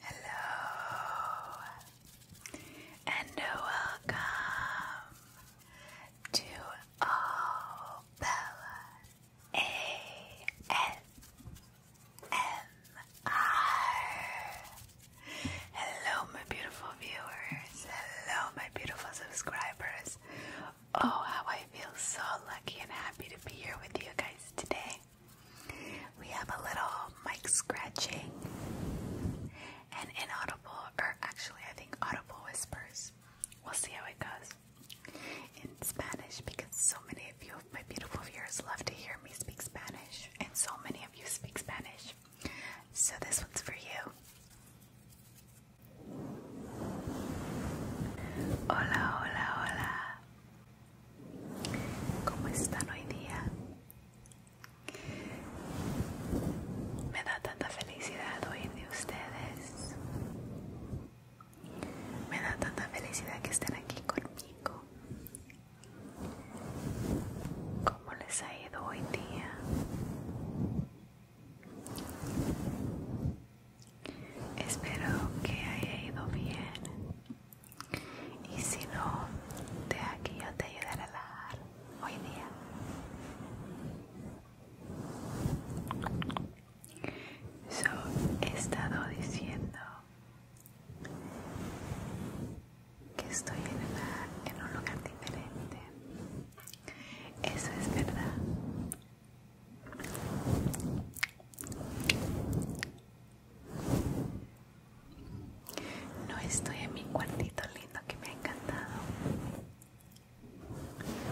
Hello and welcome to All Hello, my beautiful viewers. Hello, my beautiful subscribers. Oh, how I feel so lucky and happy to be here with you guys today. We have a little mic scratching and inaudible, or actually, I think audible whispers. We'll see how it goes in Spanish because so many of you, my beautiful viewers, love to hear me speak Spanish, and so many of you speak Spanish. So, this one's for you. Hola, hola, hola. ¿Cómo están hoy día? Me da tanta felicidad oír de ustedes. Me da tanta felicidad que estén aquí conmigo. ¿Cómo les ha ido hoy día? Espero que haya ido bien y si no, de aquí yo te ayudaré a relajar hoy día. So, he estado diciendo que estoy en, en un lugar diferente eso es verdad. No estoy en mi cuartito lindo que me ha encantado,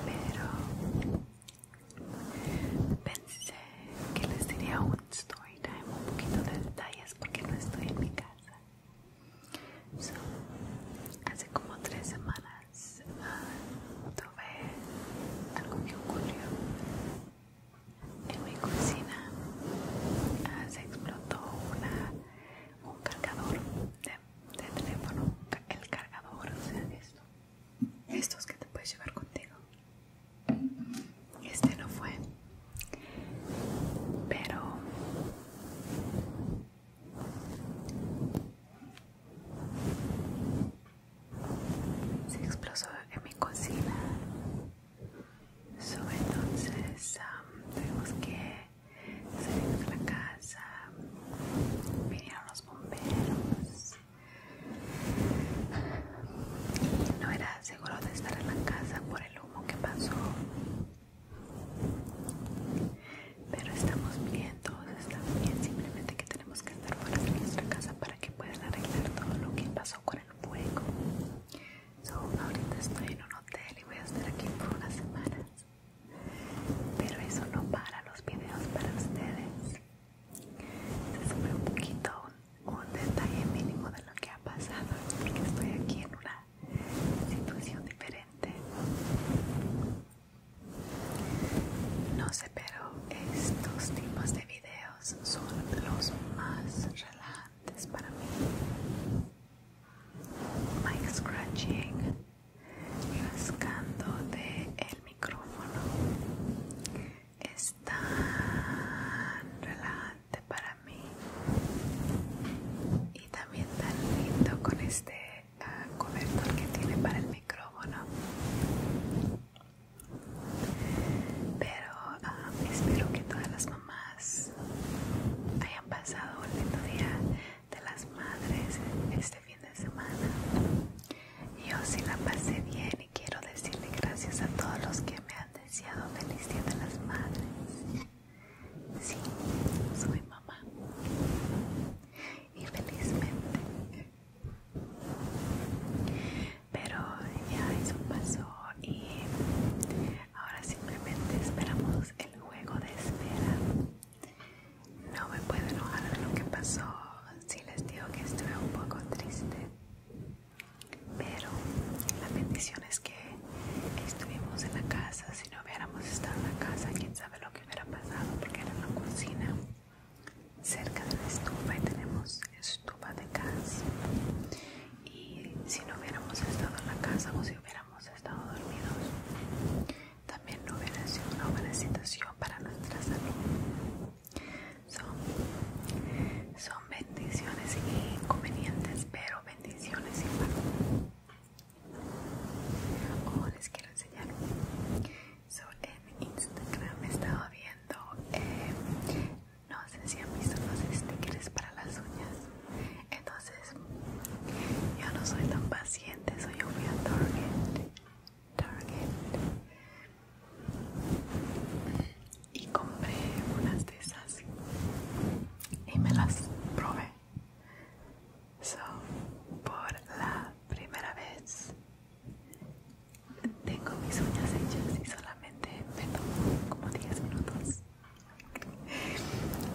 pero pensé que les diría un story time, un poquito de detalles porque no estoy en mi casa hace como tres semanas ah, tuve algo ah, que ocurrió en mi cocina. Ah, se explotó un cargador de, teléfono, el cargador, o sea, esto, estos que te puedes llevar contigo. Este no fue, pero se explosó en mi cocina entonces tenemos um, tuvimos que salir de la casa vinieron los bomberos y no era seguro de estar en la casa por el humo que pasó pero estamos bien, todos estamos bien, simplemente que tenemos que estar fuera de nuestra casa para que puedan arreglar todo lo que pasó con el fuego. ahorita estoy en un hotel y voy a estar aquí por unas semanas. Pero eso no para los videos para ustedes. Se sube un poquito un, detalle mínimo de lo que ha pasado porque estoy aquí en una una situación diferente. No sé, pero estos tipos de videos son los más relajantes para mí. Mic scratching, rascando de el micrófono. Es tan relajante para mí y también tan lindo con este ah, cobertor que tiene para el micrófono pero ah, espero que todas las mamás hayan pasado un lindo día de las madres este fin de semana yo sí la pasé bien y quiero decirle gracias a todos los que me han deseado feliz día de las madres Sí, soy mamá. Y felizmente. Pero ya eso pasó y ahora simplemente esperamos el juego de espera. No me puedo enojar lo que pasó si les digo que estuve un poco triste. Pero la bendición es que estuvimos en la casa si no hubiéramos estado en la casa, quién sabe lo que hubiera pasado, porque era en la cocina, cerca de la estufa, y tenemos estufa de gas. Y si no hubiéramos estado en la casa o si hubiéramos estado dormidos, también no hubiera sido una buena situación para nuestra salud. Son, bendiciones bendiciones inconvenientes, pero bendiciones igual como les quiero enseñar. en Instagram estaba viendo, eh, no sé si han visto los stickers para las uñas. Entonces, yo no soy tan paciente, soy yo fui a Target. Target. Y compré unas de esas y me las probé por la primera vez tengo mis uñas hechas y solamente me tomo como 10 minutos.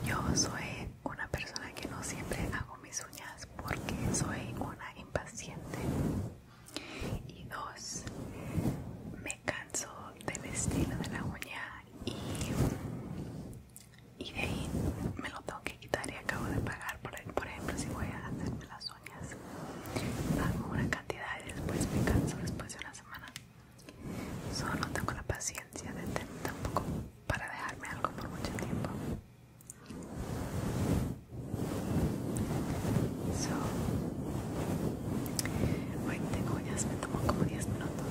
Yo soy una persona que no siempre hago mis uñas porque soy una impaciente y dos, me canso del estilo de la uña y, de ahí me lo tengo que quitar y acabo de pagar por, por ejemplo si voy a hacerme las uñas pago una cantidad y después me canso después de una semana solo tengo la paciencia de tampoco para dejarme algo por mucho tiempo hoy tengo me tomo como 10 minutos.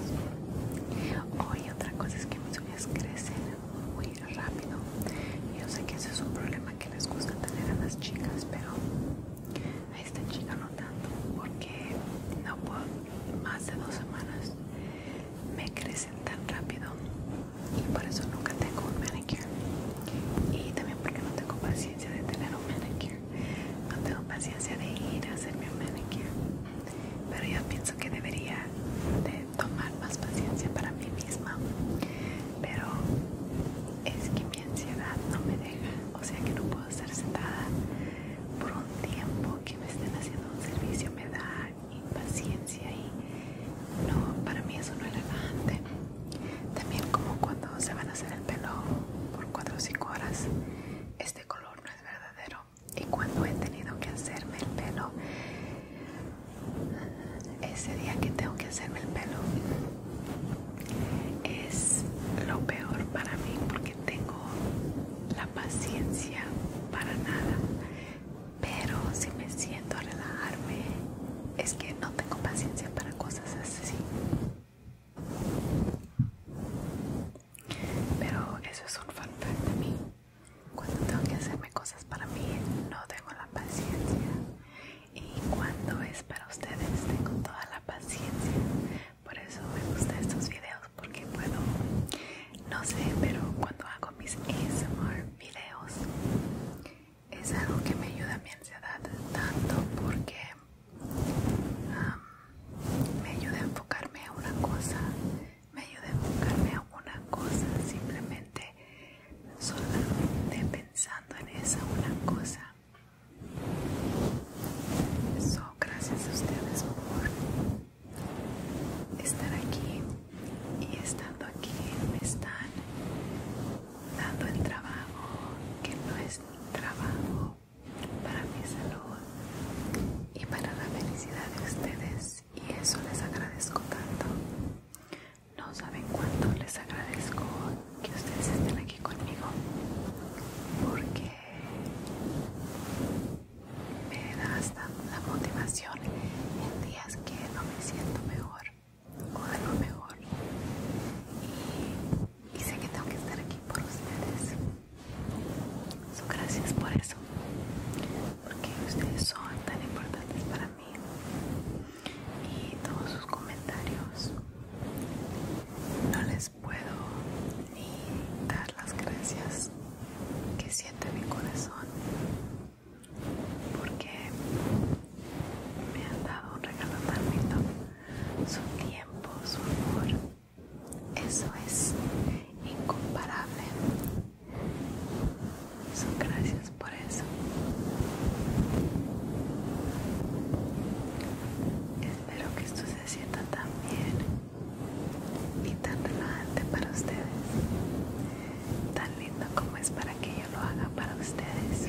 Hoy otra cosa es que mis uñas crecen muy rápido. Yo sé que ese es un problema que les gusta tener a las chicas, pero a esta chica no tanto, porque no puedo, más de dos semanas me crecen tan rápido y por eso nunca tengo un manicure. Y también porque no tengo paciencia de tener un manicure. No tengo paciencia de ir a hacerme un manicure. Pero yo pienso que debería de tomar más paciencia para mí misma. Pero es que mi ansiedad no me deja. O sea que no puedo estar sentada por un tiempo que me estén haciendo un servicio. Me da impaciencia y no, para mí eso no es relajante. También como cuando se van a hacer el pelo por 4 o 5 horas. Este color no es verdadero y cuando he tenido que hacerme el pelo ese día que tengo que hacerme el pelo es lo peor para mí porque tengo la paciencia para nada pero si me siento a relajarme es que no tengo paciencia para cosas así pero eso es un fun de mí. Cuando tengo que hacerme cosas para mí, no tengo la paciencia. Y cuando es para ustedes, tengo toda la paciencia. Por eso me gustan estos videos, porque puedo, no sé, pero cuando hago mis ASMR videos, es algo que me ayuda a mi ansiedad tanto porque me ayuda a enfocarme a una cosa, me ayuda a enfocarme a una cosa, simplemente solamente pensando en esa una cosa. Eso gracias a ustedes por estar aquí y estando aquí me están dando el trabajo que no es mi trabajo para mi salud y para la felicidad de ustedes y eso les agradezco tanto. No saben cuánto les agradezco que ustedes estén aquí conmigo porque me da hasta la motivación en días que no me siento mejor o lo mejor y y sé que tengo que estar aquí por ustedes. son gracias por eso, porque ustedes son tan importantes para mí y todos sus comentarios. No les puedo ni dar las gracias que siente mi corazón porque me han dado un regalo tan bonito su tiempo, su amor. Eso es incomparable. Son gracias por eso. Espero que esto se sienta tan bien y tan relajante para ustedes. Tan lindo como es para que yo lo haga para ustedes.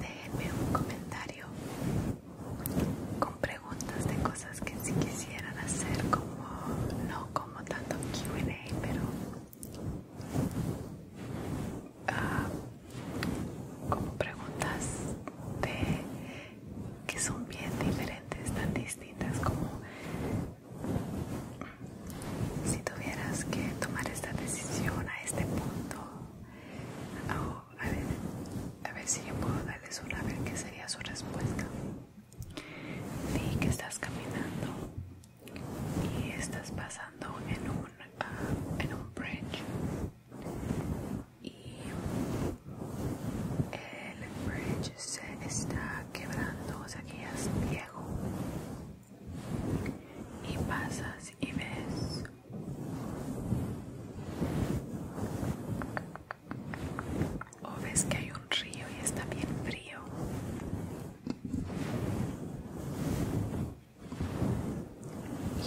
Déjenme un comentario con preguntas de cosas que si quisieran hacer como no como tanto Q&A pero ah, como preguntas de que son bien diferentes tan distintas como si tuvieras que tomar esta decisión a este punto, a, ver, si yo puedo darles una, a ver qué sería su respuesta. Di que estás caminando y estás pasando en un, ah, en un bridge y el bridge se está quebrando, o sea que ya es viejo y pasas y ves o ves que hay un río y está bien frío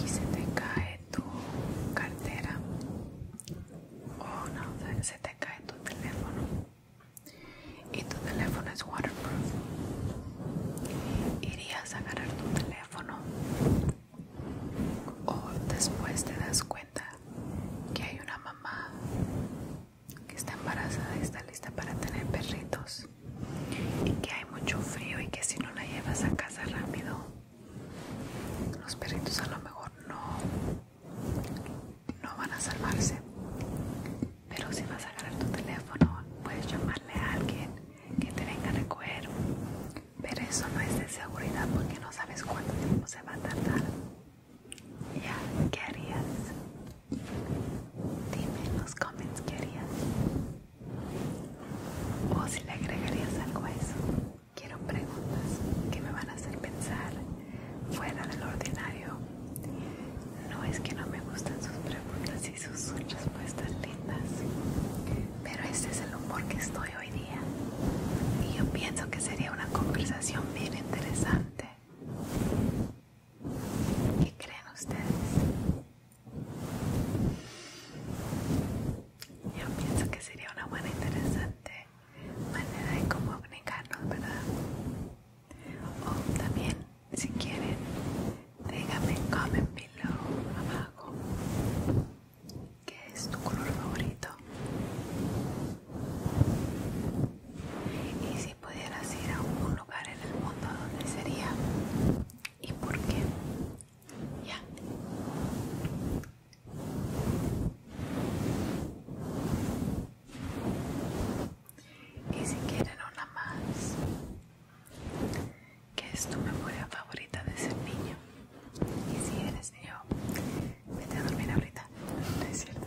y se te cae tu cartera o no se te cae tu teléfono y tu teléfono es waterproof, irías a agarrar tu teléfono o después te das cuenta que hay una mamá que está embarazada y está lista para tener perritos y que hay mucho frío y que si no la llevas a casa rápido los perritos a lo mejor no no van a salvarse pero si vas a agarrar tu teléfono, puedes llamarle a alguien que te venga a recoger. Pero eso no es de seguridad porque no sabes cuánto tiempo se va a tardar. Ya, ¿qué harías? Dime en los comments qué harías. O si le agregarías algo a eso. Quiero preguntas que me van a hacer pensar fuera del ordinario no es que no me gusten sus preguntas y sus respuestas lindas, pero este es el humor que estoy hoy día y yo pienso que sería una conversación bien interesante. ¿Qué creen ustedes? Yo pienso que sería una buena interesante manera de comunicarnos, ¿verdad? o oh, también si quieren déjame en comment below abajo qué es tu color favorito y si pudieras ir a un lugar en el mundo donde sería y por qué ya y si quieren una más que es tu memoria favorita de ser niño y si eres niño vete a dormir ahorita es cierto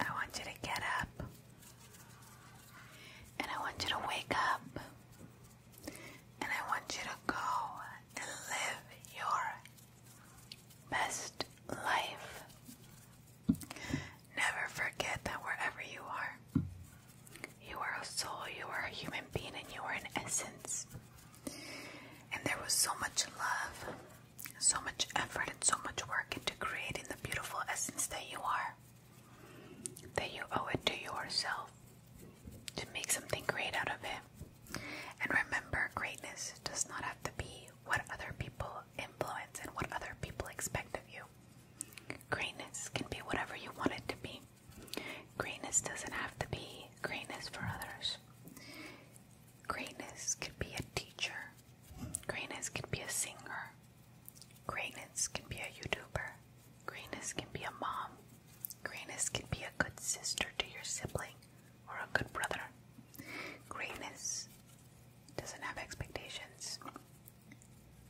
I want you to get up. And I want you to wake up. And I want you to go and live your best life. Never forget that wherever you are, you are a soul, you are a human being, and you are an essence. And there was so much love so much effort and so much work into creating the beautiful essence that you are, that you owe it to yourself to make something great out of it. And remember, greatness does not have to be what other people influence and what other people expect of you. Greatness can be whatever you want it to be. Greatness doesn't have to be greatness for others. Greatness can be a teacher. Greatness can be a singer. Greatness can be a YouTuber. Greatness can be a mom. Greatness can be a good sister to your sibling or a good brother. Greatness doesn't have expectations,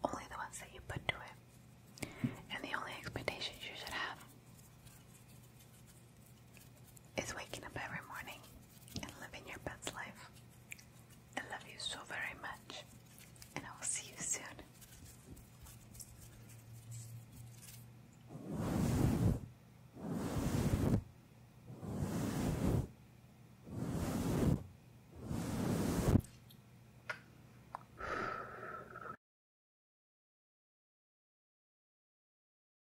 only the ones that you put to it. And the only expectations you should have is waking up every morning and living your best life. I love you so very much, and I will see you soon.